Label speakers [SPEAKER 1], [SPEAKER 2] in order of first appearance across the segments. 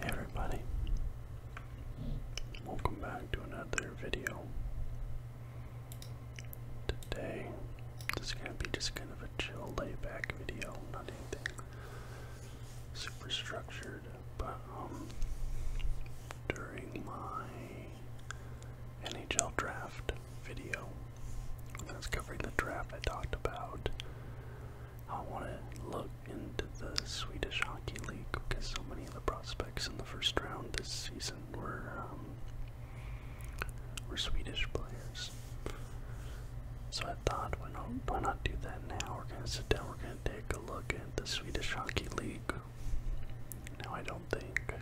[SPEAKER 1] Hey everybody, welcome back to another video. Today, this is going to be just kind of a chill layback video, not anything super structured, but um, during my NHL draft video, that's covering the draft, I talked about I want to look into the Swedish Hockey League because so many of the prospects in the first round this season were um, were Swedish players. So I thought, why not, why not do that now? We're going to sit down, we're going to take a look at the Swedish Hockey League. Now I don't think,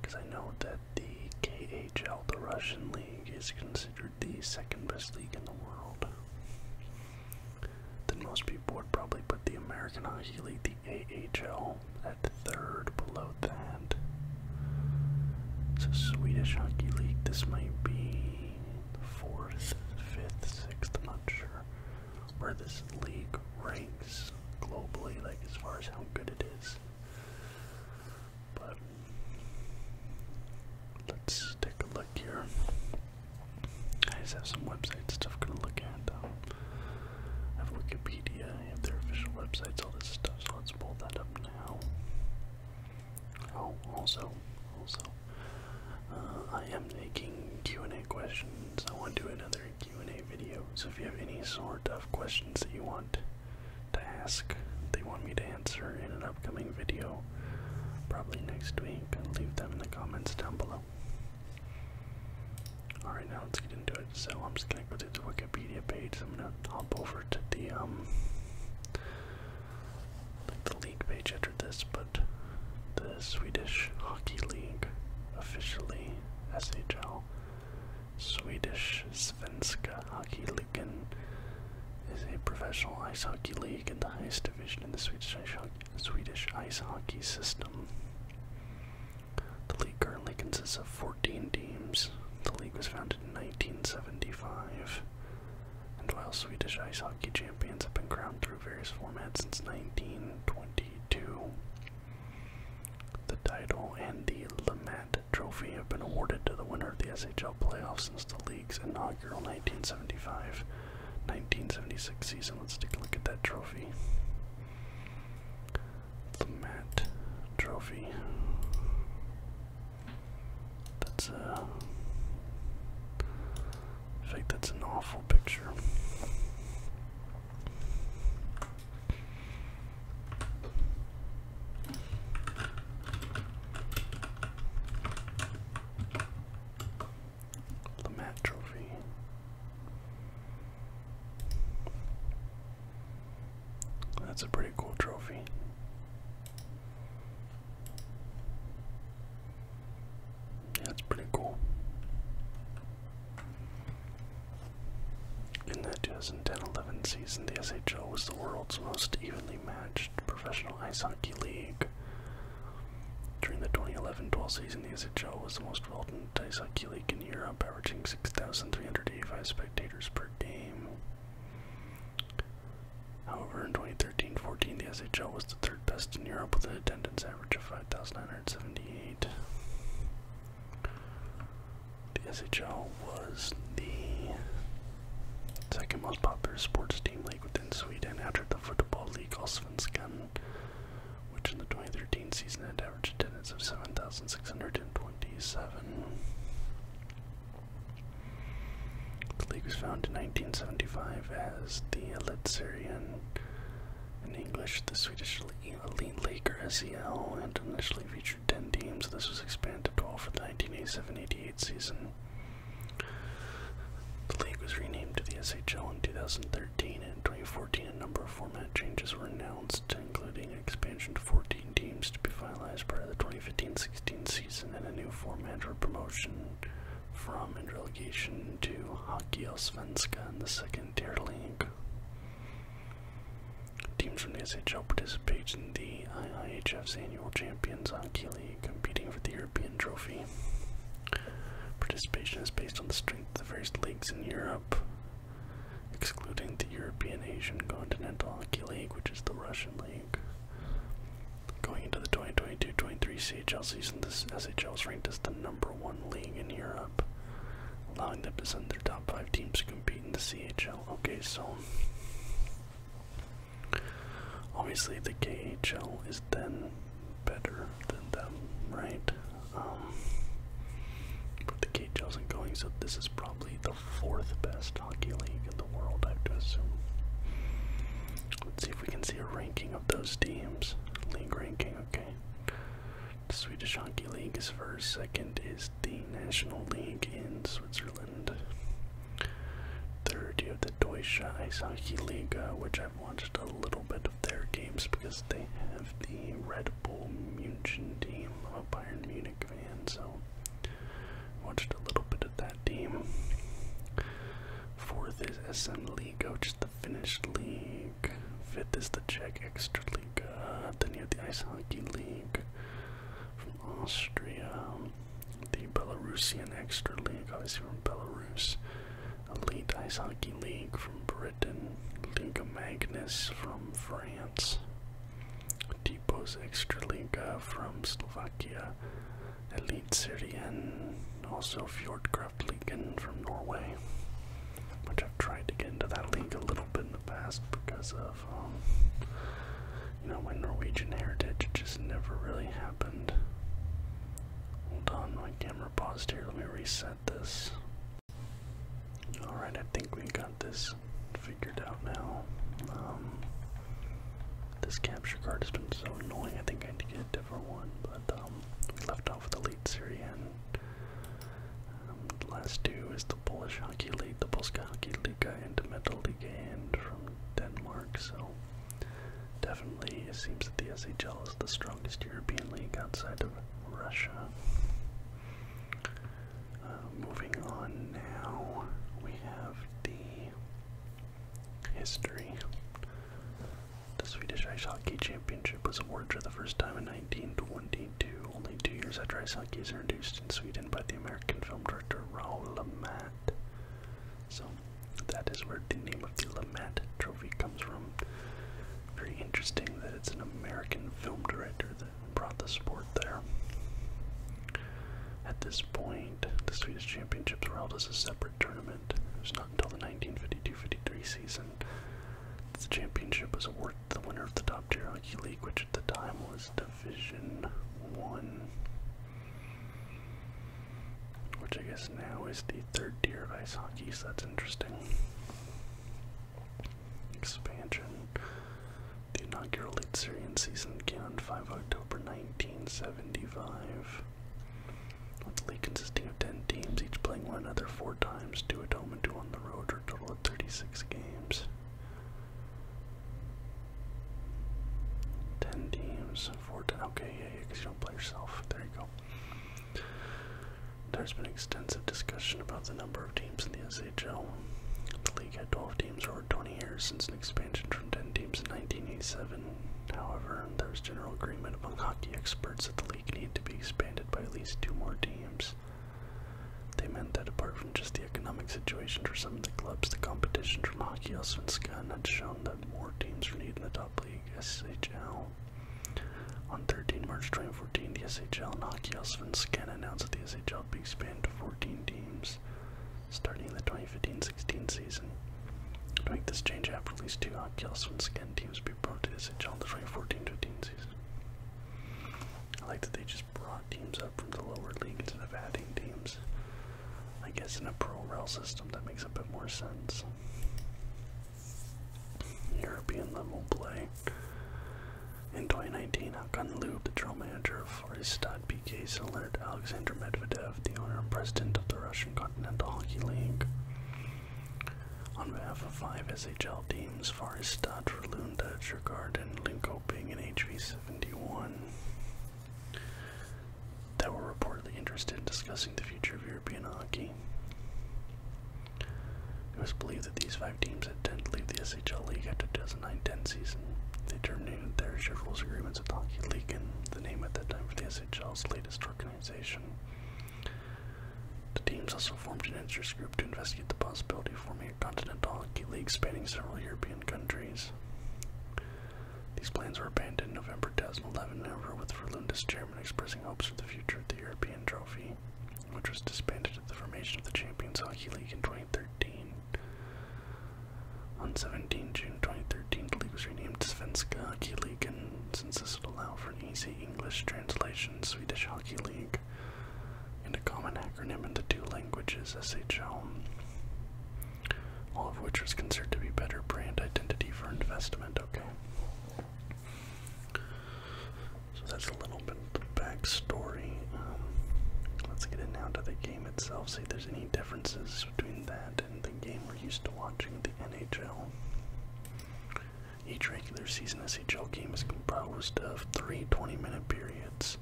[SPEAKER 1] because I know that the KA KHL, the Russian league, is considered the second best league in the world. Then most people would probably put the American Hockey League, the AHL, at third below that. So Swedish Hockey League, this might be fourth, fifth, sixth, I'm not sure where this league ranks globally, like as far as how good it is. But let's take a look here. I just have some website stuff gonna look at. I um, have Wikipedia, I have their official websites, all this stuff. So let's pull that up now. Oh, also, also, uh, I am making Q and A questions. I want to do another Q and A video. So if you have any sort of questions that you want to ask, they want me to answer in an upcoming video, probably next week. i leave them in the comments down below. Alright, now let's get into it. So I'm just gonna go to the Wikipedia page. I'm gonna hop over to the um the league page after this, but the Swedish Hockey League, officially SHL, Swedish Svenska Hockey Ligan is a professional ice hockey league in the highest division in the Swedish ice, Swedish ice hockey system. The league currently consists of 14 teams. The league was founded in 1975, and while Swedish ice hockey champions have been crowned through various formats since 1922, the title and the Lamat Trophy have been awarded to the winner of the SHL playoffs since the league's inauguration. 1975 1976 season. Let's take a look at that trophy. The Matt Trophy. That's a. In fact, that's an awful picture. Lamat Trophy. That's a pretty cool trophy. Yeah, that's pretty cool. In that 2010 11 season, the SHO was the world's most evenly matched professional. Ice Hockey League. During the 2011-12 season, the SHL was the most well attended ice hockey league in Europe, averaging 6,385 spectators per game. However, in 2013-14, the SHL was the third best in Europe with an attendance average of 5,978. The SHL was the Second most popular sports team league within Sweden after the Football League Allsvenskan, which in the 2013 season had average attendance of 7,627. The league was founded in 1975 as the Elitserien. in English the Swedish Elite League or SEL, and initially featured 10 teams. This was expanded to 12 for the 1987-88 season. The league was renamed to the SHL in 2013 and in 2014 a number of format changes were announced, including expansion to 14 teams to be finalized prior to the 2015-16 season and a new format for promotion from and relegation to Hockey Svenska in the second tier league. Teams from the SHL participate in the IIHF's annual Champions Hockey League competing for the European trophy. Participation is based on the strength of the various leagues in Europe, excluding the European Asian Continental Hockey League, which is the Russian league. Going into the 2022-23 CHL season, the SHL is ranked as the number one league in Europe, allowing them to send their top five teams to compete in the CHL. Okay, so Obviously, the KHL is then better than them, right? Um, but the KHL isn't going, so this is probably the fourth best hockey league in the world, I have to assume. Let's see if we can see a ranking of those teams. League ranking, okay. The Swedish Hockey League is first, second is the National League in Switzerland. Third, you have the Deutsche Eishockey League, which I've watched a little bit of their games because they have the Red Bull Munich team. I'm a Bayern Munich fan, so watched a little bit of that team. Fourth is the SM League, which is the Finnish league. Fifth is the Czech Extra League. Then you have the Ice Hockey League from Austria the Belarusian Extraliga, obviously from Belarus, Elite Ice Hockey League from Britain, Liga Magnus from France, Depot's Extraliga from Slovakia, Elite Syrian, also Fjordkraft Ligan from Norway, which I've tried to get into that league a little bit in the past because of um, you know, my Norwegian heritage just never really happened. Hold on, my camera paused here. Let me reset this. Alright, I think we got this figured out now. Um, this capture card has been so annoying. I think I need to get a different one, but um, we left off with the Elite Syrian. Um, the last two is the Polish Hockey League, the Polska Hockey Liga, and Metal Liga, and from Denmark, so Definitely, it seems that the SHL is the strongest European league outside of Russia. Uh, moving on now, we have the history. The Swedish Ice Hockey Championship was awarded for the first time in 1922, only two years after ice hockey is introduced in Sweden by the American film director Raoul LeMat. So that is where the name of the Lament Trophy comes from. Very interesting that it's an American film director that brought the sport there. At this point, the Swedish Championships were held as a separate tournament. It was not until the 1952-53 season that the championship was awarded to the winner of the top tier hockey league, which at the time was Division One. Which I guess now is the third tier of ice hockey, so that's interesting. Expansion. The inaugural league Litzerian season began on 5 October 1975. With the league consisting of 10 teams, each playing one another four times, two at home and two on the road, for a total of 36 games. 10 teams four times. Okay, yeah, yeah, because you don't play yourself. There you go. There's been extensive discussion about the number of teams in the SHL. The league had 12 teams for over 20 years since an expansion from 10 teams in 1987. However, there was general agreement among hockey experts that the league needed to be expanded by at least two more teams. They meant that apart from just the economic situation for some of the clubs, the competition from hockey also in Scotland had shown that more teams are needed in the top league, SHL. On 13 March 2014, the SHL and Hockey Svenska announced that the SHL would be expanded to 14 teams starting the 2015-16 season. To make this change, after at least two Hockey Svenska teams would be brought to the SHL in the 2014-15 season. I like that they just brought teams up from the lower league instead of adding teams. I guess in a pro rail system that makes a bit more sense. European level play. In 2019, Hakan Lube, the drill manager of Forestad PK, cellared Alexander Medvedev, the owner and president of the Russian Continental Hockey League. On behalf of five SHL teams, Forestad, Frölunda, Djurgården, Linkoping, and HV71, that were reportedly interested in discussing the future of European hockey. It was believed that these five teams had intended to leave the SHL League after the 2009-10 season. They terminated their shareholders agreements with the Hockey League and the name at that time for the SHL's latest organization. The teams also formed an interest group to investigate the possibility of forming a continental hockey league spanning several European countries. These plans were abandoned in November 2011, however, with Verlundis chairman expressing hopes for the future of the European Trophy, which was disbanded at the formation of the Champions Hockey League in 2013. On 17 June 2013, the league was renamed Svenska Hockey League, and since this would allow for an easy English translation, Swedish Hockey League, and a common acronym in the two languages, SHL all of which was considered to be better brand identity for investment. Okay, so that's a little bit of the backstory. Um, let's get it now to the game itself. See if there's any differences between that and the game we're used to watching, the NHL. Each regular season NHL game is composed of three 20-minute periods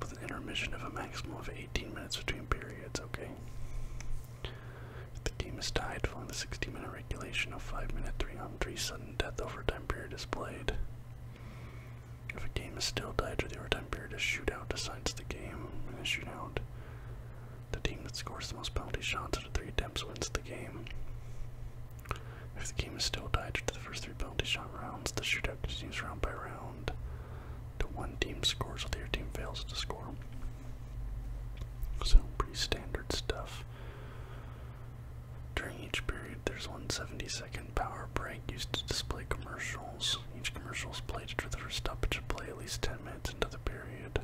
[SPEAKER 1] with an intermission of a maximum of 18 minutes between periods, okay? If the game is tied following the 60 minute regulation, or 5 minute 3 on 3 sudden death overtime period is played. If a game is still tied or the overtime period, a shootout decides the game. In a shootout, the team that scores the most penalty shots out of three attempts wins the game. If the game is still tied after the first three penalty shot rounds, the shootout continues round by round. The one team scores while the other team fails to score. So pretty standard stuff. During each period, there's one 70-second power break used to display commercials. Each commercial is played after the first stoppage of play at least 10 minutes into the period.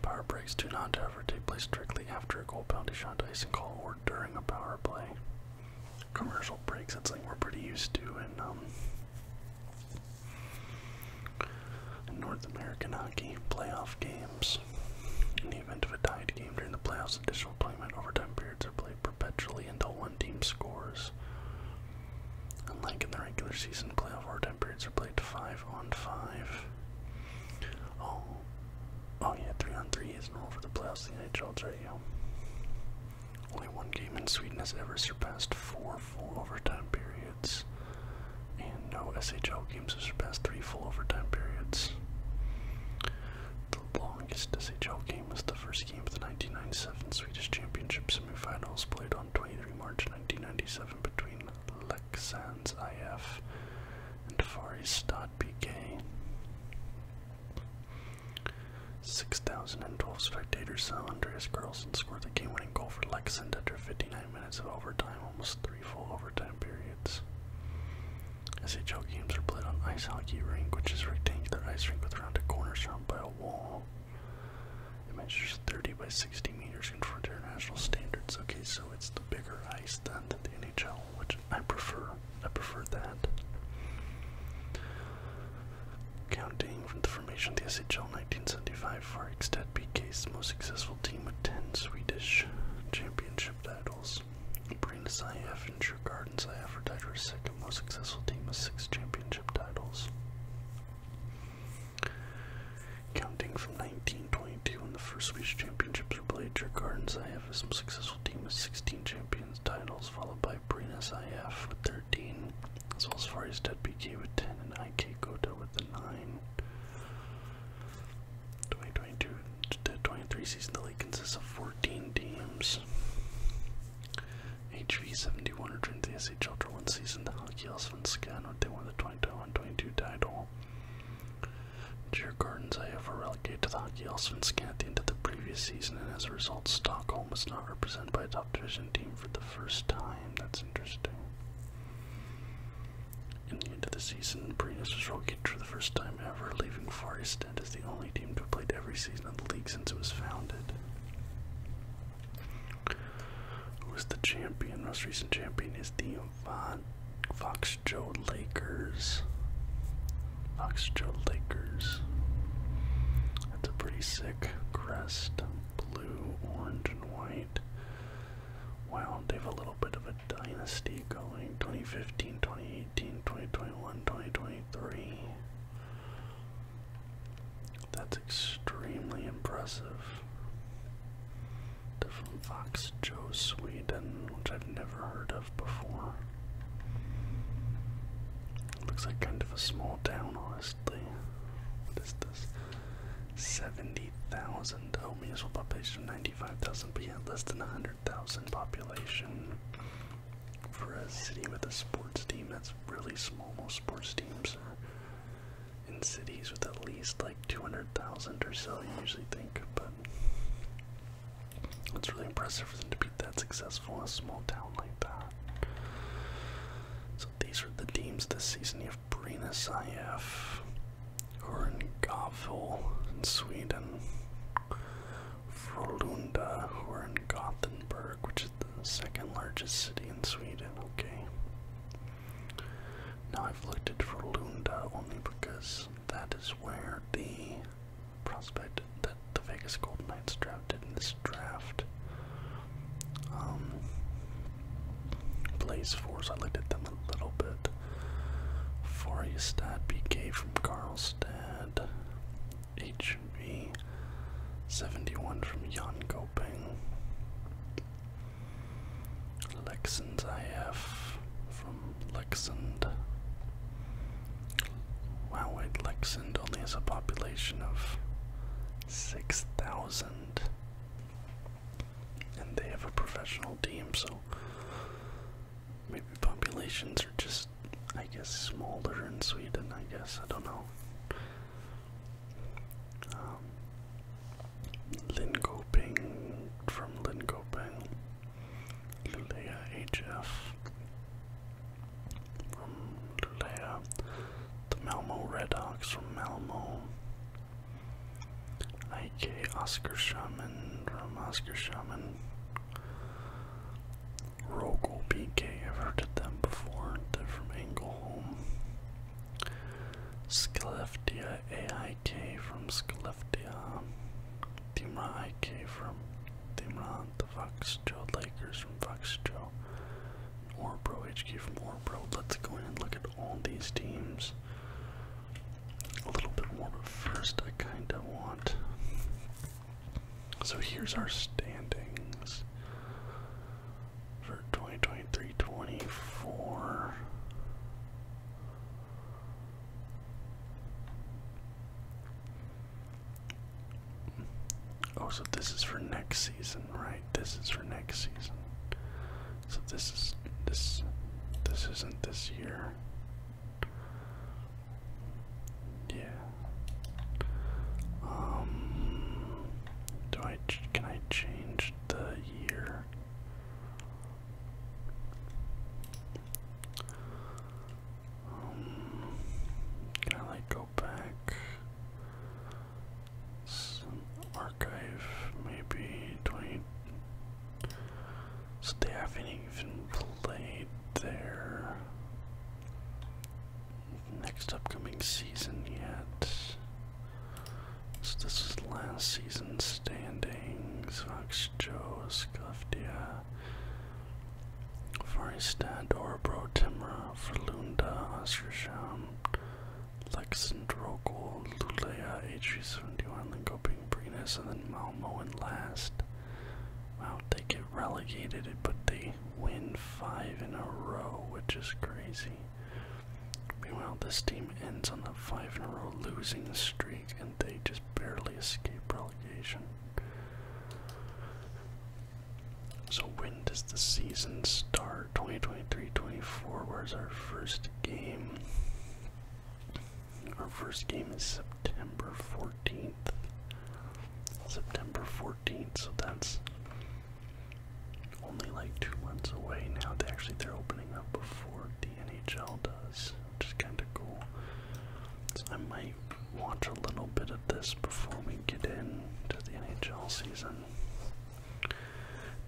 [SPEAKER 1] Power breaks do not, ever take place directly after a goal, penalty shot, icing call, or during a power play. Commercial breaks, that's something we're pretty used to in um, North American Hockey Playoff Games. In the event of a tied game during the playoffs, additional 20 minute overtime periods are played perpetually until one team scores. Unlike in the regular season, playoff overtime periods are played 5 on 5. Oh, oh yeah, 3 on 3 is normal for the playoffs in the NHL, right? Only one game in Sweden has ever surpassed four full overtime periods, and no SHL games have surpassed three full overtime periods. The longest SHL game was the first game of the 1997 Swedish Championship semifinals, played on 23 March 1997 between Leksands IF and Fari Stad 6,012 spectators saw Andreas Carlson score the game-winning goal for Lexington after 59 minutes of overtime, almost three full overtime periods. SHL games are played on ice hockey rink, which is rectangular ice rink with rounded corners surrounded by a wall. It measures 30 by 60 meters conform to international standards. Okay, so it's the bigger ice than the NHL, which I prefer. I prefer that. Counting from the formation of the SHL 1975, Farikstad became the most successful team with 10 Swedish championship titles. Brynäs IF and Djurgårdens IF were for second most successful team with 6 championship titles. Counting from 1922 when the first Swedish championships were played, Djurgårdens IF is the most successful team with 16 champions titles, followed by Brynäs IF with 13 as well as Forest Dead PK with 10 and IK Kota with the 9. 2022 to 23 season, the league consists of 14 teams. HV71 returned to the SHL after one season. The Hockey Els Scanno, they won the 2021-22 title. Deer Gardens IF were relegated to the Hockey Els Scanno at the end of the previous season, and as a result, Stockholm was not represented by a top division team for the first time. That's interesting. In the end of the season, Brinas was relegated for the first time ever, leaving Forestend as the only team to have played every season of the league since it was founded. Who is the champion? Most recent champion is the Von Fox Joe Lakers. Fox Joe Lakers. That's a pretty sick crest blue, orange, and white. Wow, they have a little bit of a dynasty going. 2015, 2018, 2021, 2023. That's extremely impressive. Different Fox Joe Sweden, which I've never heard of before. Looks like kind of a small town, honestly mostly. What is this? 70,000. Oh, municipal population 95,000, but yeah, less than 100,000 population. For a city with a sports team, that's really small. Most sports teams in cities with at least like 200,000 or so, you usually think, but it's really impressive for them to be that successful in a small town like that. So these are the teams this season. You have Brynäs IF, who are in Gavle in Sweden. Frölunda, who are in Gothenburg, which is the second largest city in Sweden. Okay. Now I've looked at Frölunda only because that is where the prospect that the Vegas Golden Knights drafted in this draft um, Blaze Force, I looked at them a little bit. Forestad BK from Karlstad. HB 71 from Jan Goping. Lexens IF from Lexand. Wow, wait, Lexand only has a population of 6,000. And they have a professional team, so maybe populations are just, I guess, smaller in Sweden, I guess. I don't know. Um, Linkoping from Linkoping. Lulea HF from Lulea. The Malmo Redhawks from Malmo. IK Oscar Shaman from Oscar Shaman. Rogel PK, I've heard of them before. They're from Engelholm. Skeleftia AIK from Skeleftia. Dimra IK from Dimra. The Fox Joe Lakers from Fox Joe. Or Pro HQ from Or Pro. Let's go in and look at all these teams a little bit more, but first I kind of want. So here's our standings for 2023 24. Oh, so this is for next season, right? This is for next season. So this is this this isn't this year. Yeah. Um do I can I change the year? Um, can I go back? Some archive, maybe 20. So they haven't even played there? next upcoming season yet. So this is last season standings. Fox Joe, Scuffdia, Faristad, Orbro, Timra, Ferlunda, Oskersham, Lexandrocal, Lulea, HG71, Lingoping, Brinus, and then Malmo in last. Wow, they get relegated, but they win five in a row, which is crazy. Meanwhile, this team ends on the five in a row losing streak, and they just barely escape relegation. So when does the season start? 2023-24 where's our first game? Our first game is September 14th. September 14th, so that's only like two months away now. They actually they're opening up before the NHL does, which is kinda cool. So I might watch a little bit of this before we get into the NHL season.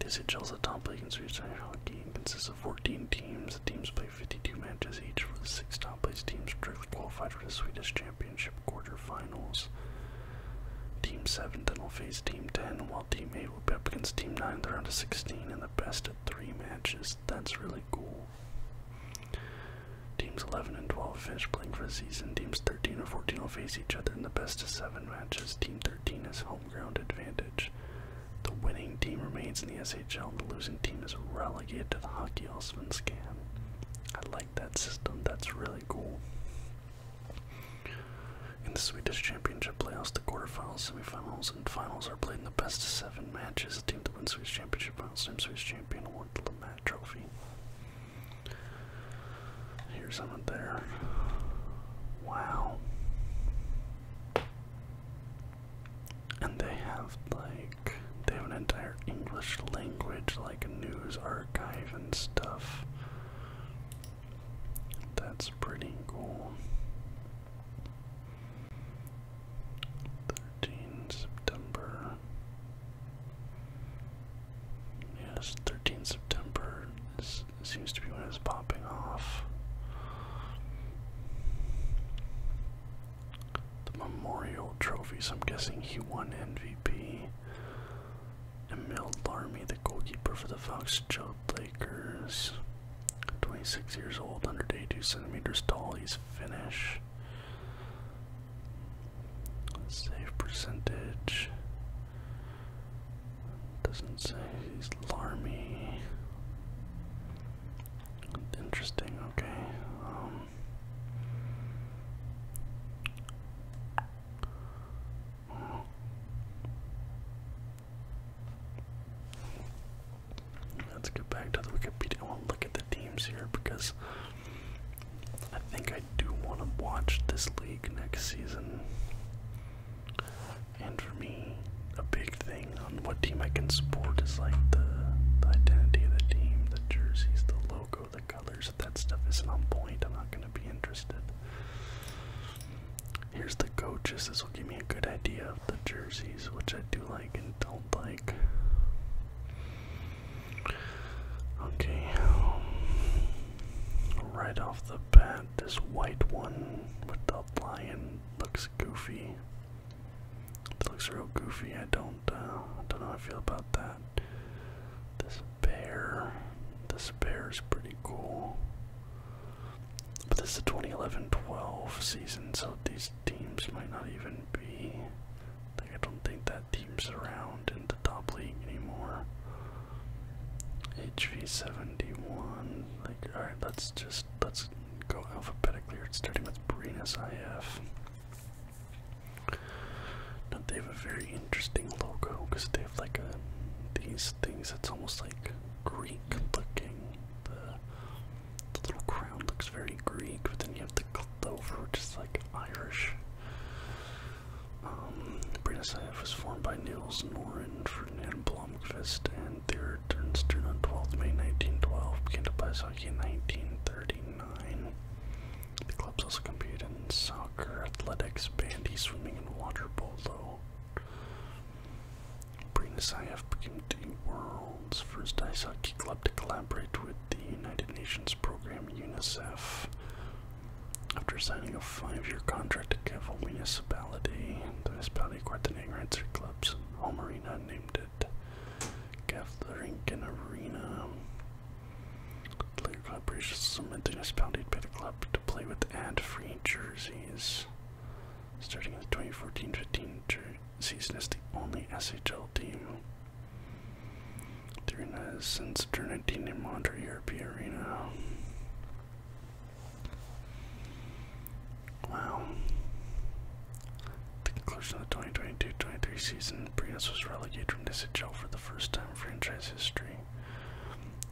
[SPEAKER 1] This SHL is the top league in Swedish ice hockey consists of 14 teams. The teams play 52 matches each, with the six top placed teams directly qualified for the Swedish Championship quarter finals. Team 7 then will face Team 10, while Team 8 will be up against Team 9 they They're round of 16 in the best of three matches. That's really cool. Teams 11 and 12 finish playing for the season. Teams 13 and 14 will face each other in the best of seven matches, Team 13 has home ground advantage. The winning team remains in the SHL, the losing team is relegated to the Hockey Allsvenskan. I like that system, that's really cool. In the Swedish Championship playoffs, the quarterfinals, semifinals, and finals are played in the best of seven matches. The team that wins Swedish Championship finals, team Swedish champion, award the Lamat Trophy. Here's someone there. Wow. And they have like they have an entire English language like news archive and stuff. That's pretty cool. 13 September Yes, 13 September seems to be when it's popping off. The Memorial Trophies, I'm guessing he won MVP. Emil Larmy, the goalkeeper for the Fox Joe Lakers. 26 years old, 182 centimeters tall, he's Finnish. Save percentage. Doesn't say he's Larmy. Interesting, okay. Um. Let's get back to the Wikipedia. and look at the teams here because I think I. I do want to watch this league next season. And for me, a big thing on what team I can support is like the, identity of the team, the jerseys, the logo, the colors. If that stuff isn't on point, I'm not going to be interested. Here's the coaches. This will give me a good idea of the jerseys, which I do like and don't like. Okay. Um, Right off the bat, this white one with the lion looks goofy. It looks real goofy. I don't, uh, don't know how I feel about that. This bear, this bear is pretty cool. But this is the 2011-12 season, so these teams might not even be. I don't think that team's around in the top league anymore. HV71. Like, alright, let's just let's go alphabetically starting with Brennus IF. Now they have a very interesting logo because they have like these things that's almost like Greek looking. The, the little crown looks very Greek, but then you have the clover, which is like Irish. Um, was formed by Niels Norin, Ferdinand Blomqvist, and their turnstern on 12th May 1912, began to play hockey in 1939. The club also competed in soccer, athletics, bandy, swimming, and water polo. Bratislav became the world's first ice hockey club to collaborate with the United Nations program UNICEF after signing a five-year contract to Cavill Municipality, the municipality coordinating Renser Club's home arena named it Gavlerinkin Arena. The Club reached some the municipality to the club to play with and free jerseys. Starting in the 2014-15 season as the only SHL team. During the since turn 19 in Monterey European Arena. Wow. The conclusion of the 2022-23 season, Brios was relegated from SHL for the first time in franchise history.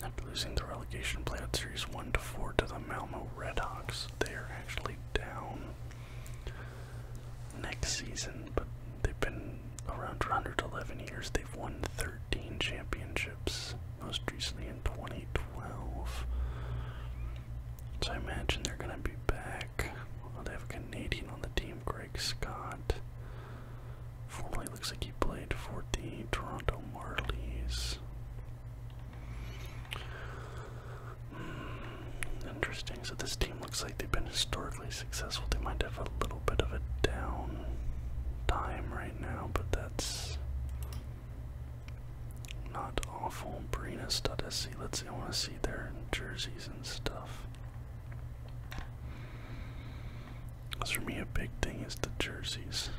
[SPEAKER 1] After losing the relegation playoff series 1-4 to the Malmo Redhawks, they are actually down next season, but they've been around 111 years. They've won 13 championships most recently in 2012. So I imagine they're going to be back. they have a Canadian on the team, Greg Scott. Formerly looks like he played for the Toronto Marlies. Hmm, interesting. So this team looks like they've been historically successful. They might have a little bit of a down time right right now, but that's not awful. Barinas.sc. Let's see, I want to see their jerseys and stuff. Because for me, a big thing is the jerseys.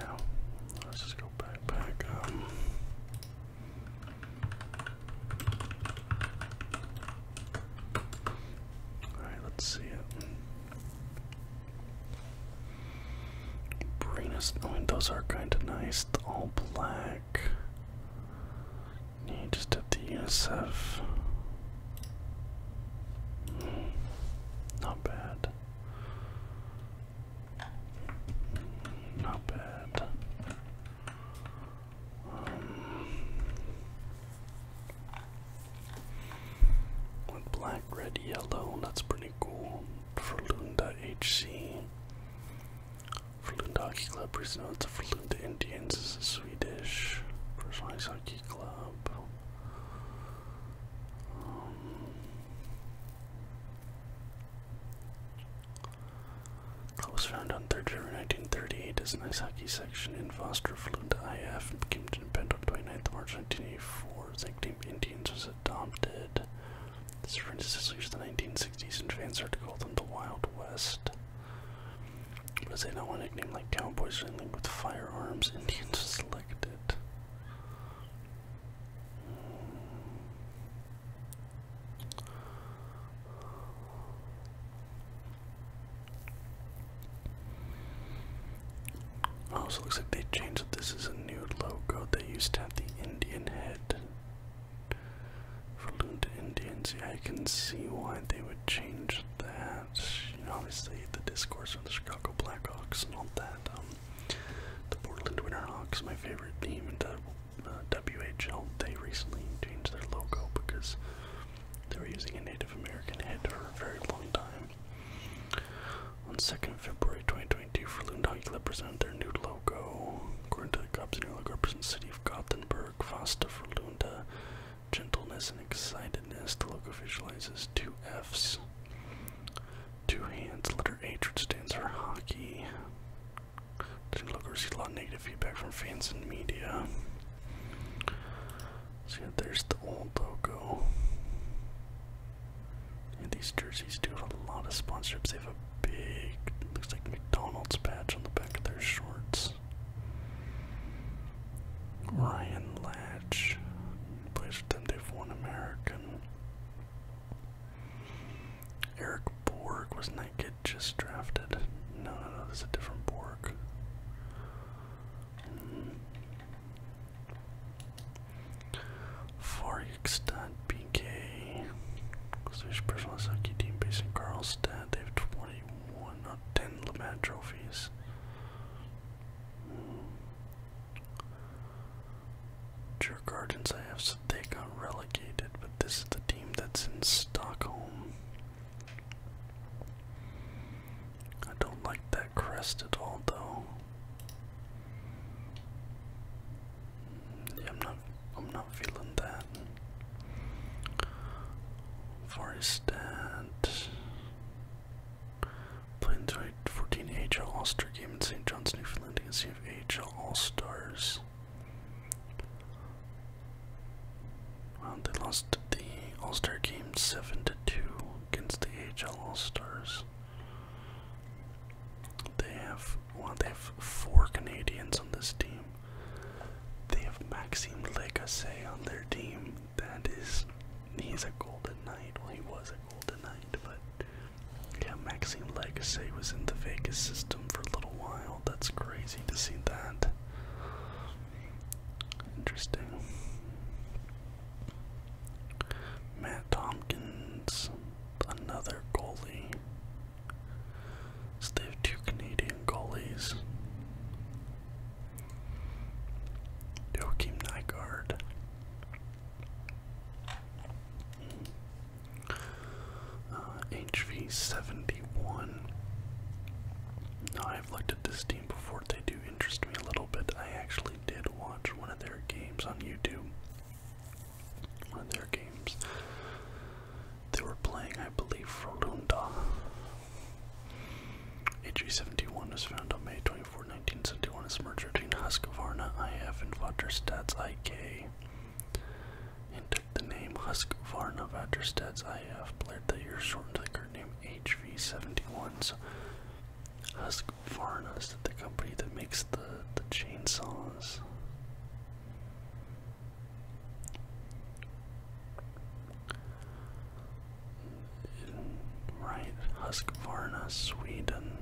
[SPEAKER 1] Now, let's just go back, back um, Alright, let's see it. Brina's oh, the windows are kind of nice, all black. You just did the hmm, not bad. Not bad. Um, with black, red, yellow, that's pretty cool. For Lunda HC. Frölunda Hockey Club presents the Frölunda Indians is a Swedish first hockey club. Um, was found on 3rd River 1938 as an ice hockey section in Foster flew IF and became 29th March 1984. The nickname Indians was adopted. This references to the 1960s and fans started to call them the Wild West. But they do want a nickname like Cowboys or with firearms, Indians selected. Also, oh, looks like they changed This is a new logo. They used to have the Indian head for Loon to Indians. Yeah, I can see why they would change that. You know, obviously, the discourse of the Chicago Blackhawks not that. Um, the Portland Winterhawks, my favorite team in the uh, WHL, they recently changed their logo because they were using a Native American head for a very long time. On 2nd February 2022, Frelund Hockey Club presented their new logo. According to the Cubs, the logo represents the city of Gothenburg, for Frelunda, gentleness and excitedness. The logo visualizes two Fs Two hands, letter H, which stands for hockey. Didn't look received a lot of negative feedback from fans and media. See, so there's the old logo. And these jerseys do have a lot of sponsorships. They have a big, looks like McDonald's patch on the back of their shorts. Ryan Latch plays them. to have American. Eric Borg, wasn't just drafted? No, no, no, this is a different Borg. Mm. Farjikstad BK. Swedish professional hockey team based in Karlstad. They have 21 not 10 LeMat trophies. Hmm. Jurgardens Gardens I have to they on relegated, but this is the team that's in Stockholm. I don't like that crest at all though. Yeah, I'm not I'm not feeling that. Forestat Plans to 14 AHL All Star game in St. John's, Newfoundland against the AHL All Stars. Well, they lost the All Star game 7 to 2 against the AHL All Stars. They have well, they have four Canadians on this team. They have Maxime Legasse on their team. That is, he's a golden knight. Well, he was a golden knight, but yeah, Maxine Legacy was in the Vegas system for a little while. That's crazy to see that. Interesting. Matt Tompkins, another goalie. So they have two Canadian goalies. Joachim Nygaard. Uh, HV71. I've looked at this team before. They do interest me a little bit. I actually did watch one of their games on YouTube. One of their games. They were playing, I believe, Frolunda. HV71 was found on May 22, 24, 1971 is merger between Husqvarna IF and Vaterstad's IK. And took the name Husqvarna Vaterstad's IF, played that year shortened to the current name HV71. So Husqvarna is the company that makes the, the chainsaws. Right, Husqvarna, Sweden.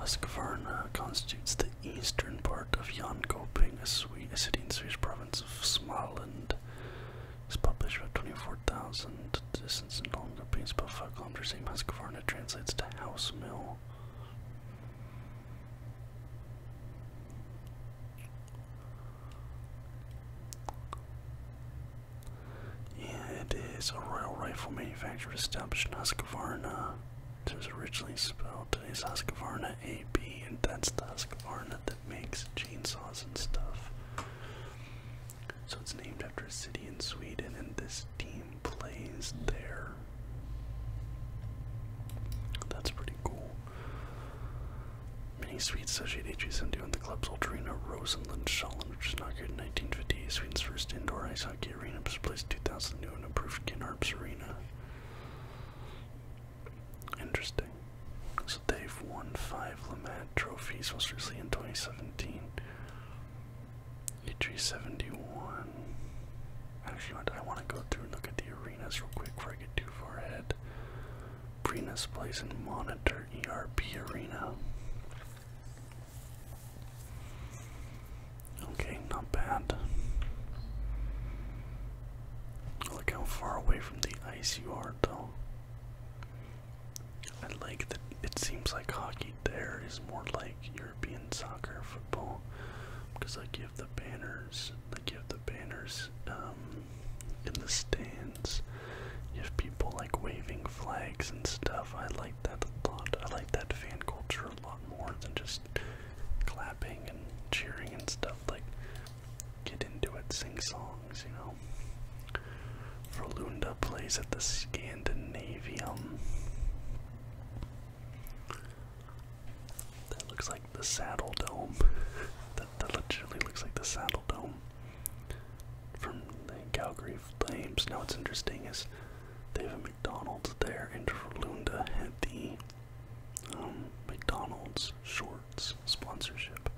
[SPEAKER 1] Husqvarna constitutes the eastern part of Jönköping, a, city in Swedish province of Småland. It's published about 24,000 distance in Jönköping, about 5 kilometers. Same Husqvarna translates to house mill. Yeah, it is a royal rifle manufacturer established in Husqvarna. It was originally spelled as Husqvarna AB, and that's the that makes chainsaws and stuff. So it's named after a city in Sweden, and this team plays there. That's pretty cool. Many Swedes associate HSM2 with the club's Ultrina Rosenlund Schallen, which was inaugurated in 1958, Sweden's first indoor ice hockey arena Place placed 2002 and improved Kinharps Arena. Interesting. So they've won five Lamat trophies most recently in 2017. Atri 71. Actually, I want to go through and look at the arenas real quick before I get too far ahead. Brina's Place and Monitor ERP Arena. Okay, not bad. Look how far away from the ice you are, though. I like that it seems like hockey there is more like European soccer, football, because like you the banners, like you the banners um, in the stands, you have people like waving flags and stuff. I like that a lot. I like that fan culture a lot more than just clapping and cheering and stuff. Like, get into it, sing songs, you know. Verlunda plays at the Scandinavium. That looks like the Saddle Dome. that, that literally looks like the Saddle Dome from the Calgary Flames. Now, what's interesting is they have a McDonald's there, and Frulunda had the um, McDonald's shorts sponsorship.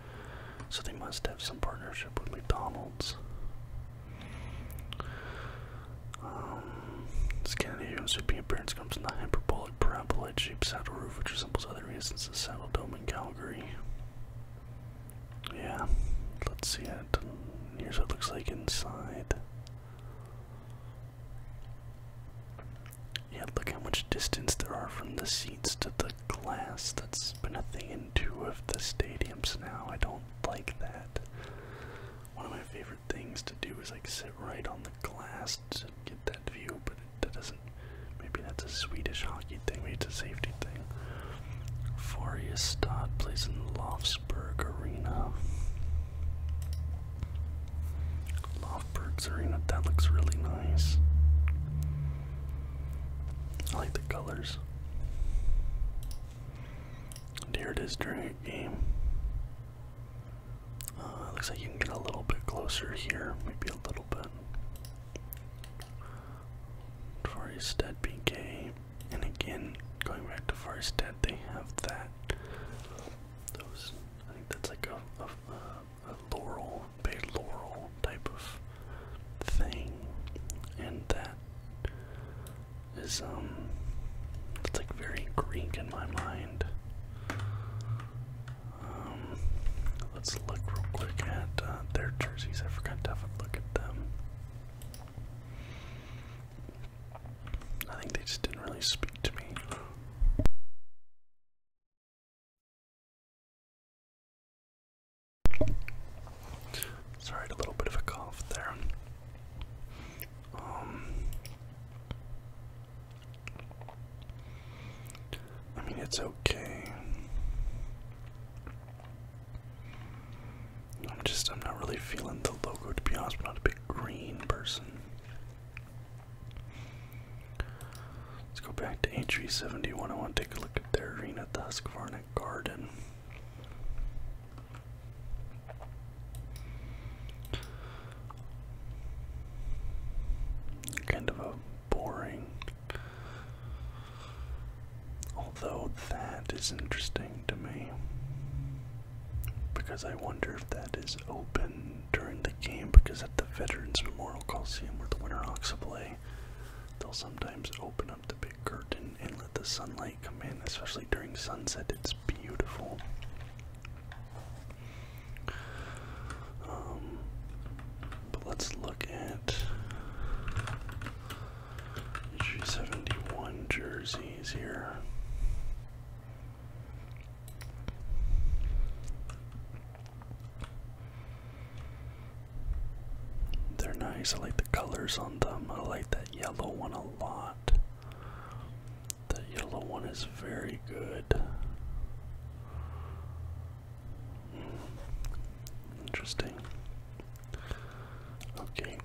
[SPEAKER 1] So they must have some partnership with McDonald's. Um, Scandinavian soup appearance comes from the hyperbolic parabola shaped saddle roof, which resembles other instances Saddle Dome in Calgary. Yeah, let's see it. Here's what it looks like inside. Yeah, look how much distance there are from the seats to the glass. That's been a thing in two of the stadiums now. I don't like that. One of my favorite things to do is like sit right on the glass to get that view, but it, that doesn't. Maybe that's a Swedish hockey thing. Maybe it's a safety thing. Foriestad plays in Lofsburg Arena. Lofsburg's Arena, that looks really nice. I like the colors. And here it is during a game. Uh, looks like you can get a little bit closer here, maybe a little bit. being game. And again, going back to Forest Dead, they have that. Those, I think that's like a, a, laurel, bay laurel type of thing, and that is um, it's like very Greek in my mind. Um, let's look real quick at uh, their jerseys. I forgot to have a look at them. I think they just didn't really speak to me. Sorry, a little bit of a cough there. Um, I mean, it's okay. I'm just, I'm not really feeling the logo to be honest. i not a big green person. Let's go back to HV 71. I want to take a look at their arena at the Husqvarna Garden. Kind of a boring. Although that is interesting to me because I wonder if that is open during the game. Because at the Veterans Memorial Coliseum, where the Winterhawks Hawks play, they'll sometimes open up the big curtain and let the sunlight come in, especially during sunset. It's beautiful. Um, but let's look at G 71 jerseys here. They're nice. I like the colors on them. I like that yellow one a lot. That yellow one is very good. Hmm. Interesting. Okay.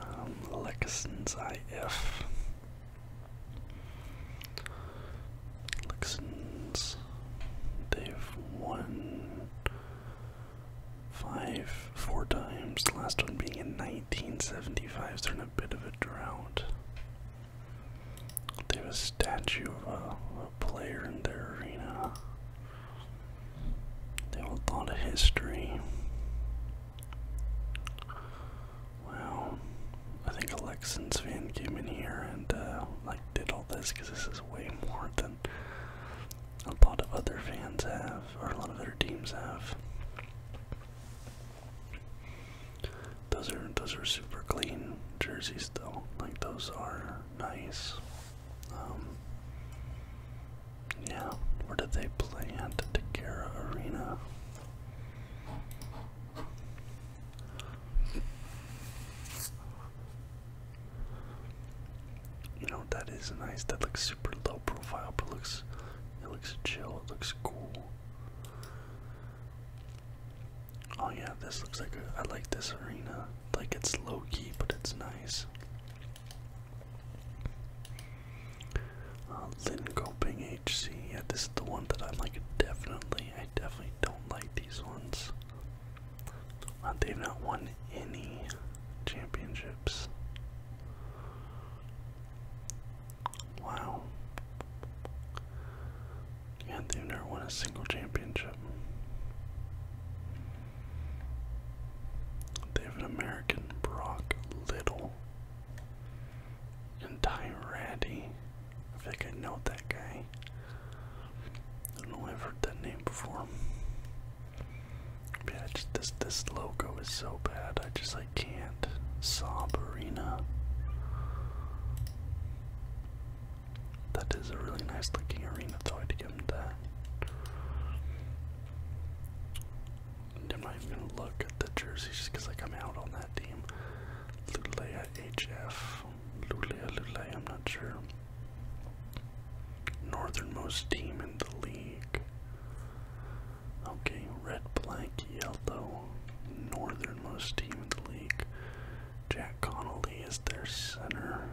[SPEAKER 1] Um, Lexens IF. Lexens. They've won five, four times. The last one being in 1975. they're in a bit of a drought. They have a statue of a, a player in their arena. They have a lot of history. Well, I think Alexin's fan came in here and uh, like did all this because this is way more than a lot of other fans have, or a lot of other teams have. Those are those are super clean jerseys though. Like those are nice. Um, yeah, where did they play at? Takara Arena. You know that is nice. That looks super low profile, but looks it looks chill. It looks cool. Oh yeah, this looks like a, I like this arena. Like it's low key, but it's nice. Uh, Lynn HC. Yeah, this is the one that I like. Definitely, I definitely don't like these ones. Uh, they've not won any championships. Wow. Yeah, they've never won a single championship. They have an American American Brock Little and Ty Ratty. I think I know that guy. I don't know I've heard that name before. yeah, this this logo is so bad. I just like can't. Saw Arena. That is a really nice looking arena, though I'd give him that. I'm not even gonna look at the jerseys just because like I'm out on that team. Lulea HF, Lulea Lulea, I'm not sure. Northernmost team in the league. Okay, red, black, yellow. Northernmost team in the league. Jack Connolly is their center.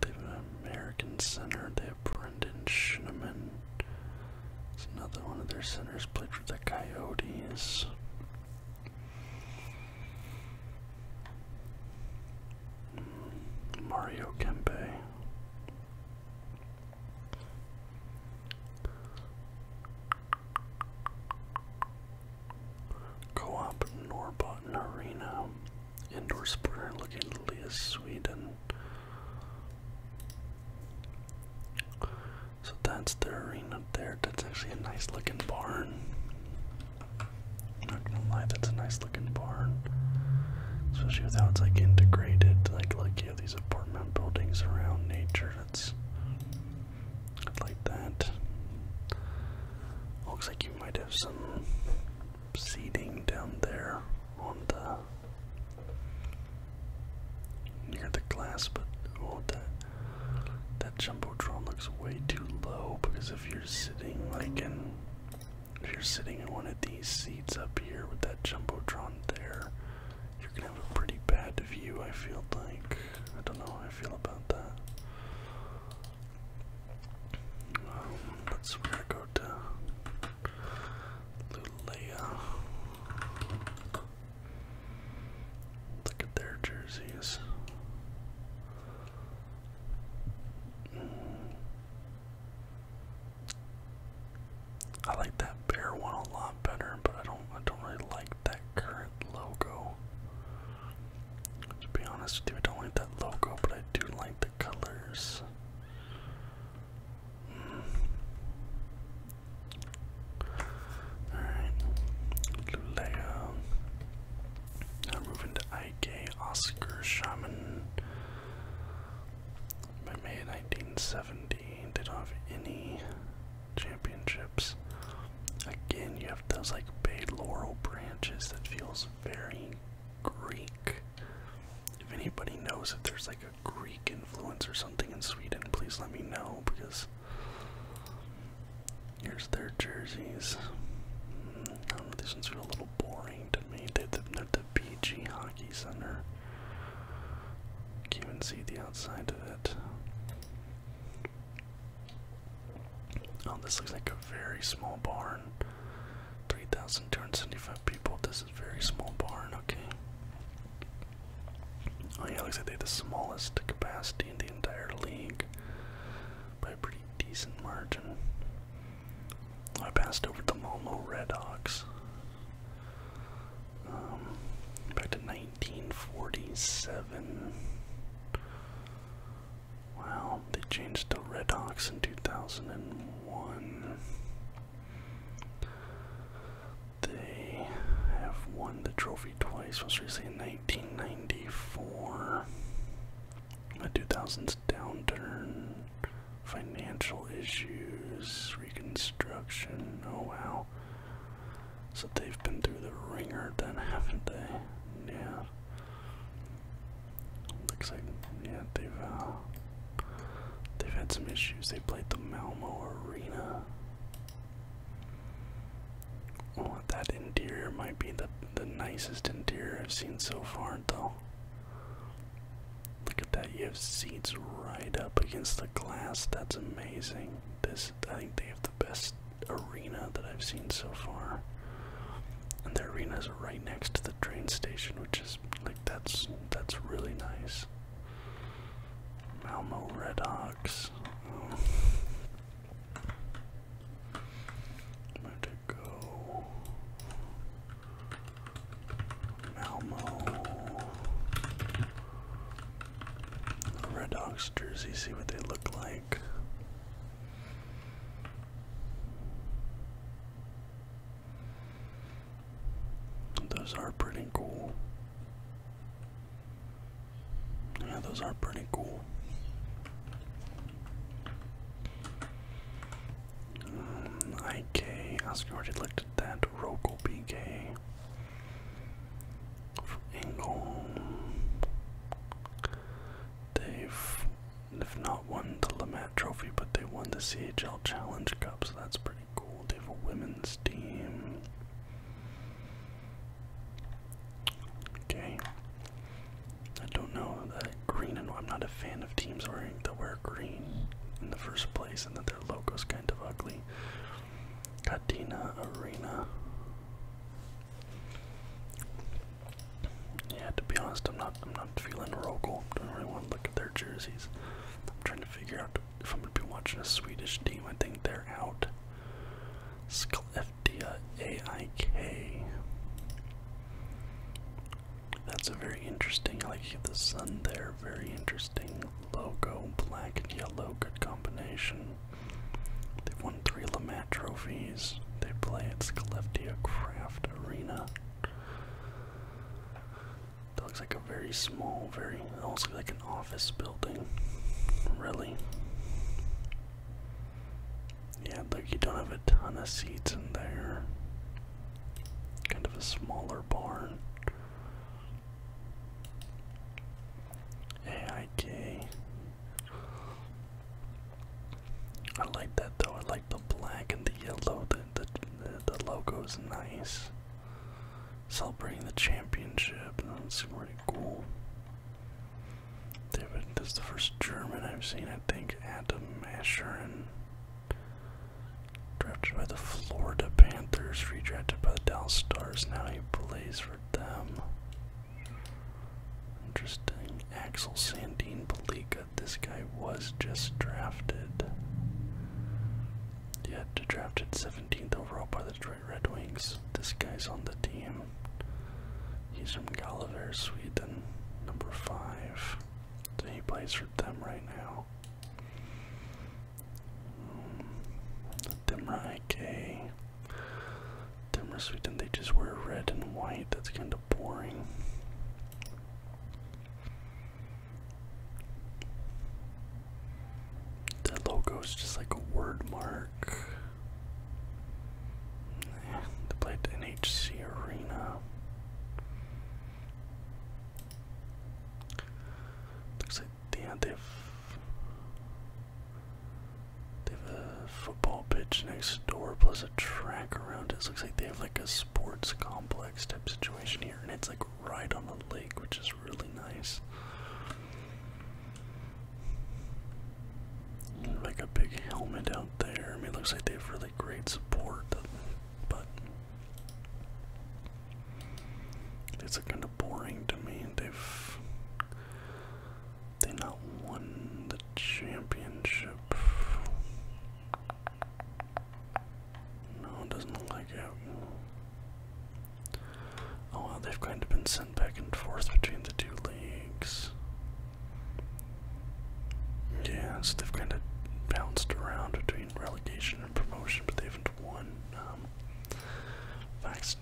[SPEAKER 1] They have an American center. They have Brendan Schneeman. It's another one of their centers played for the Coyotes. Mario Kempe. Co-op Norbuton Arena. Indoor splitter looking Leah Sweden. So that's the arena there. That's actually a nice looking barn. not gonna lie, that's a nice looking barn. Especially with how it's like integrated, like look, you have these apartment buildings around nature. That's i like that. Looks like you might have some seating down there on the near the glass, but oh, that that jumbotron looks way too low because if you're sitting like in if you're sitting in one of these seats up here with that jumbotron there, you're gonna have a pretty bad view. I feel like I don't know how I feel about that. Um, let's we go to Lulea. Look at their jerseys. I like that bear one a lot better, but I don't I don't really like that current logo. To be honest with you, I don't like that logo, but I I do like the colors. Hmm. Alright. Lulea. Now moving to IK Oscar Shaman. By May 1970, they not have any championships. Again, you have those like bay laurel branches that feels very Greek. If anybody knows if there's like a Greek influence or something in Sweden, please let me know because here's their jerseys. I don't know, these ones are a little boring to me. They are the BG Hockey Center. Can't see the outside of it. Oh, this looks like very small barn. 3,275 people. This is very small barn, okay. Oh yeah, looks like they had the smallest capacity in the entire league by a pretty decent margin. I passed over the Malmo Red Hawks. Um, back to 1947. Well, they changed to Red Hawks in 2001. They have won the trophy twice, most recently in 1994. The 2000s downturn, financial issues, reconstruction. Oh wow. So they've been through the ringer then, haven't they? Yeah. Looks like, yeah, they've uh, they've had some issues. They played the Malmo Arena. Oh, that interior might be the the nicest interior I've seen so far, though. Look at that! You have seats right up against the glass. That's amazing. This, I think, they have the best arena that I've seen so far. And their is right next to the train station, which is like that's that's really nice. Malmo Red Hawks. Oh. Where to go? Malmo. Red jersey, see what they look like. Those are pretty cool. Yeah, those are pretty cool. Um, IK, Oscar already looked at that. Rocal PK. For They've they not won the Lamat Trophy, but they won the CHL Challenge Cup, so that's pretty cool. They have a women's team. Okay. I don't know that green I'm not a fan of teams wearing that wear green in the first place and that their logo's kind of ugly. Cadina Arena. Yeah, to be honest, I'm not. I'm not feeling local. I don't really want to look at their jerseys. I'm trying to figure out if I'm gonna be watching a Swedish team. I think they're out. Skelleftea AIK. That's a very interesting. I like the sun there. Very interesting logo. Black and yellow. Good combination. They've won three Lamat trophies. They play at Skelleftea Craft Arena. That looks like a very small, very almost like an office building. Really. Yeah, look, you don't have a ton of seats in there. Kind of a smaller barn. AIK. I like that though. I like the black and the yellow. The the the, logo is nice. Celebrating the championship. That's really cool. David, this is the first German I've seen. I think Adam Asherin. Drafted by the Florida Panthers, redrafted by the Dallas Stars. Now he plays for them. Interesting. Axel Sandine Belica this guy was just drafted. Yeah, drafted 17th overall by the Detroit Red Wings. This guy's on the team. He's from Gulliver, Sweden, number five. So he plays for them right now. Dimra IK. Sweden, they just wear red and white. That's kind of boring. That logo is just like a word mark. Yeah, they played NHC Arena. Looks like they have they have a football pitch next door plus a track around it. Looks like they have like a sports complex type situation here, and it's like right on the lake, which is really nice. Like a big helmet out there. I mean, looks like they have really great support, but it's kind of boring to me. They've they not won the championship. No, it doesn't look like it. Oh well, they've kind of been sent back and forth between the two leagues. Yeah, so they've kind of bounced around between relegation and promotion, but they haven't won. Um, Vax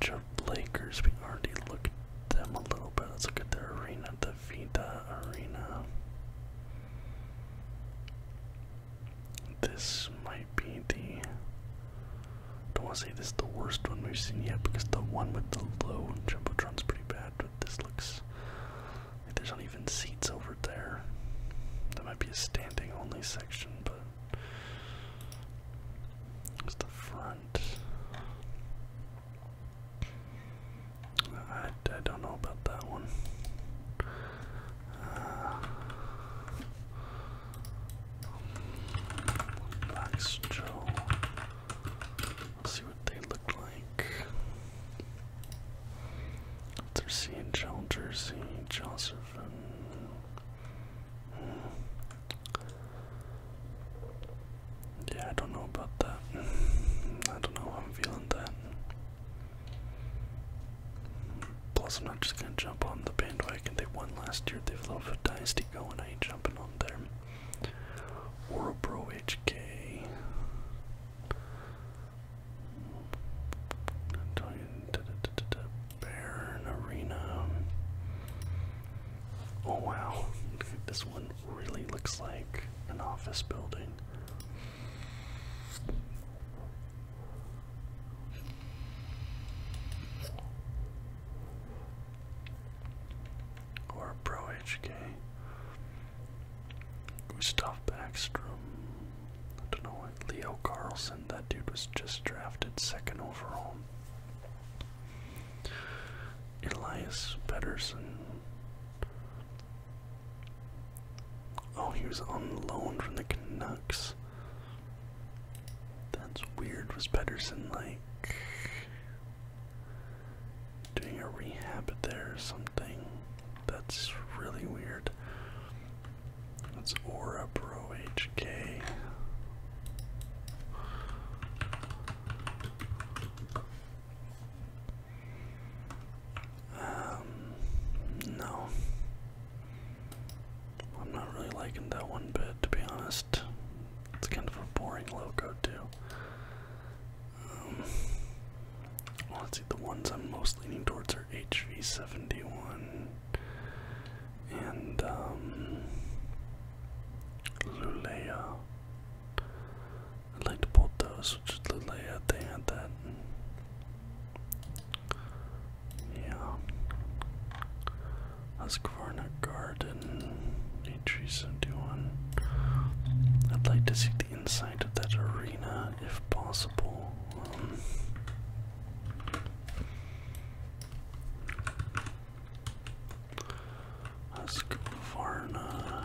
[SPEAKER 1] Lakers, we already looked at them a little bit. Let's look at their arena, the Vita Arena. This might be the. Don't want to say this is the worst one we've seen yet because the one with the low jumbotron's pretty bad, but this looks like there's even seats over there. That might be a standing only section, but it's the front. I, I don't know about that one. Uh, Joe. see what they look like. Jersey Jersey, Josephine. Hmm. Yeah, I don't know about that. I don't know how I'm feeling that. Plus, I'm not just gonna jump on the bandwagon. They won last year. They have a little bit of dynasty going. I ain't jumping on them. Orbro HK. Baron Arena. Oh wow, this one really looks like an office building. Or Pro HK. Gustav Backstrom. I don't know Leo Carlson. That dude was just drafted second overall. Elias Pettersson. Oh, he was on loan from the Canucks. That's weird. Was Pedersen like doing a rehab there or something? That's really weird. That's Ora Pro HK. Um, no. I'm not really liking that one bit, to be honest. It's kind of a boring logo, too. Um, let's see, the ones I'm most leaning towards are HV71 and um, Lulea. I would like to both those, which looked like yeah, they had that. Yeah. Husqvarna Garden, H371. I'd like to see the inside of that arena if possible. Um, Husqvarna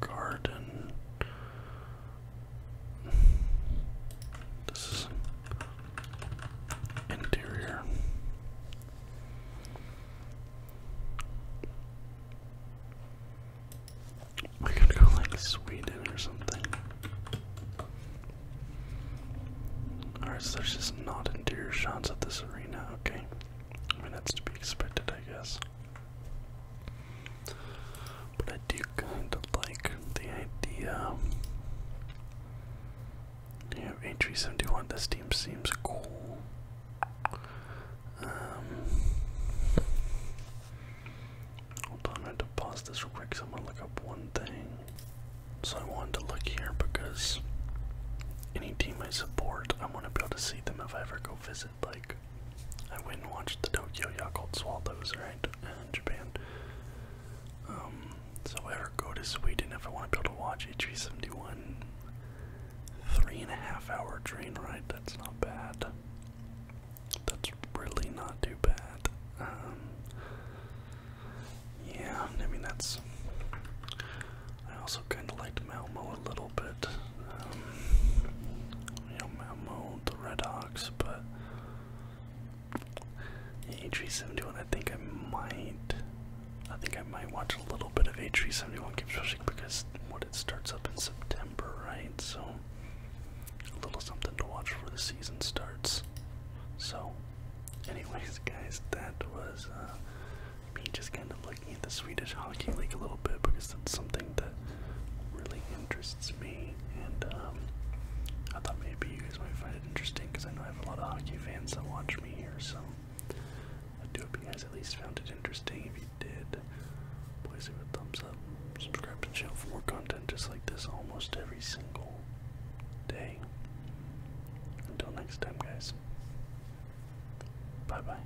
[SPEAKER 1] Garden. This is interior. I could go like Sweden or something. Alright, so there's just not interior shots of this arena, okay. I mean, that's to be expected, I guess. But I do kind of like the idea. Yeah, entry 71, this team seems cool. Um, hold on, I had to pause this real quick so I'm gonna look up one thing. So I wanted to look here because any team I support, I want to be able to see them if I ever go visit, like, I went and watched the Tokyo Yakult Swallows, right, in Japan. Um, so I ever go to Sweden if I want to be able to watch HV71, three and a half hour train ride, that's not bad. That's really not too bad. Um, yeah, I mean that's. I also kind of liked Malmo a little bit about it. Um, you the Red Hawks, but H 371 I think I might, I think I might watch a little bit of H 371 Keeps Rushing because what it starts up in September, right? So a little something to watch before the season starts. So, anyways, guys, that was uh, me just kind of looking the Swedish Hockey League a little bit because that's something that really interests me, and um, I thought maybe you guys might find it interesting because I know I have a lot of hockey fans that watch me here, so I do hope you guys at least found it interesting. If you did, please leave a thumbs up, subscribe to the channel for more content just like this almost every single day. Until next time, guys. Bye bye.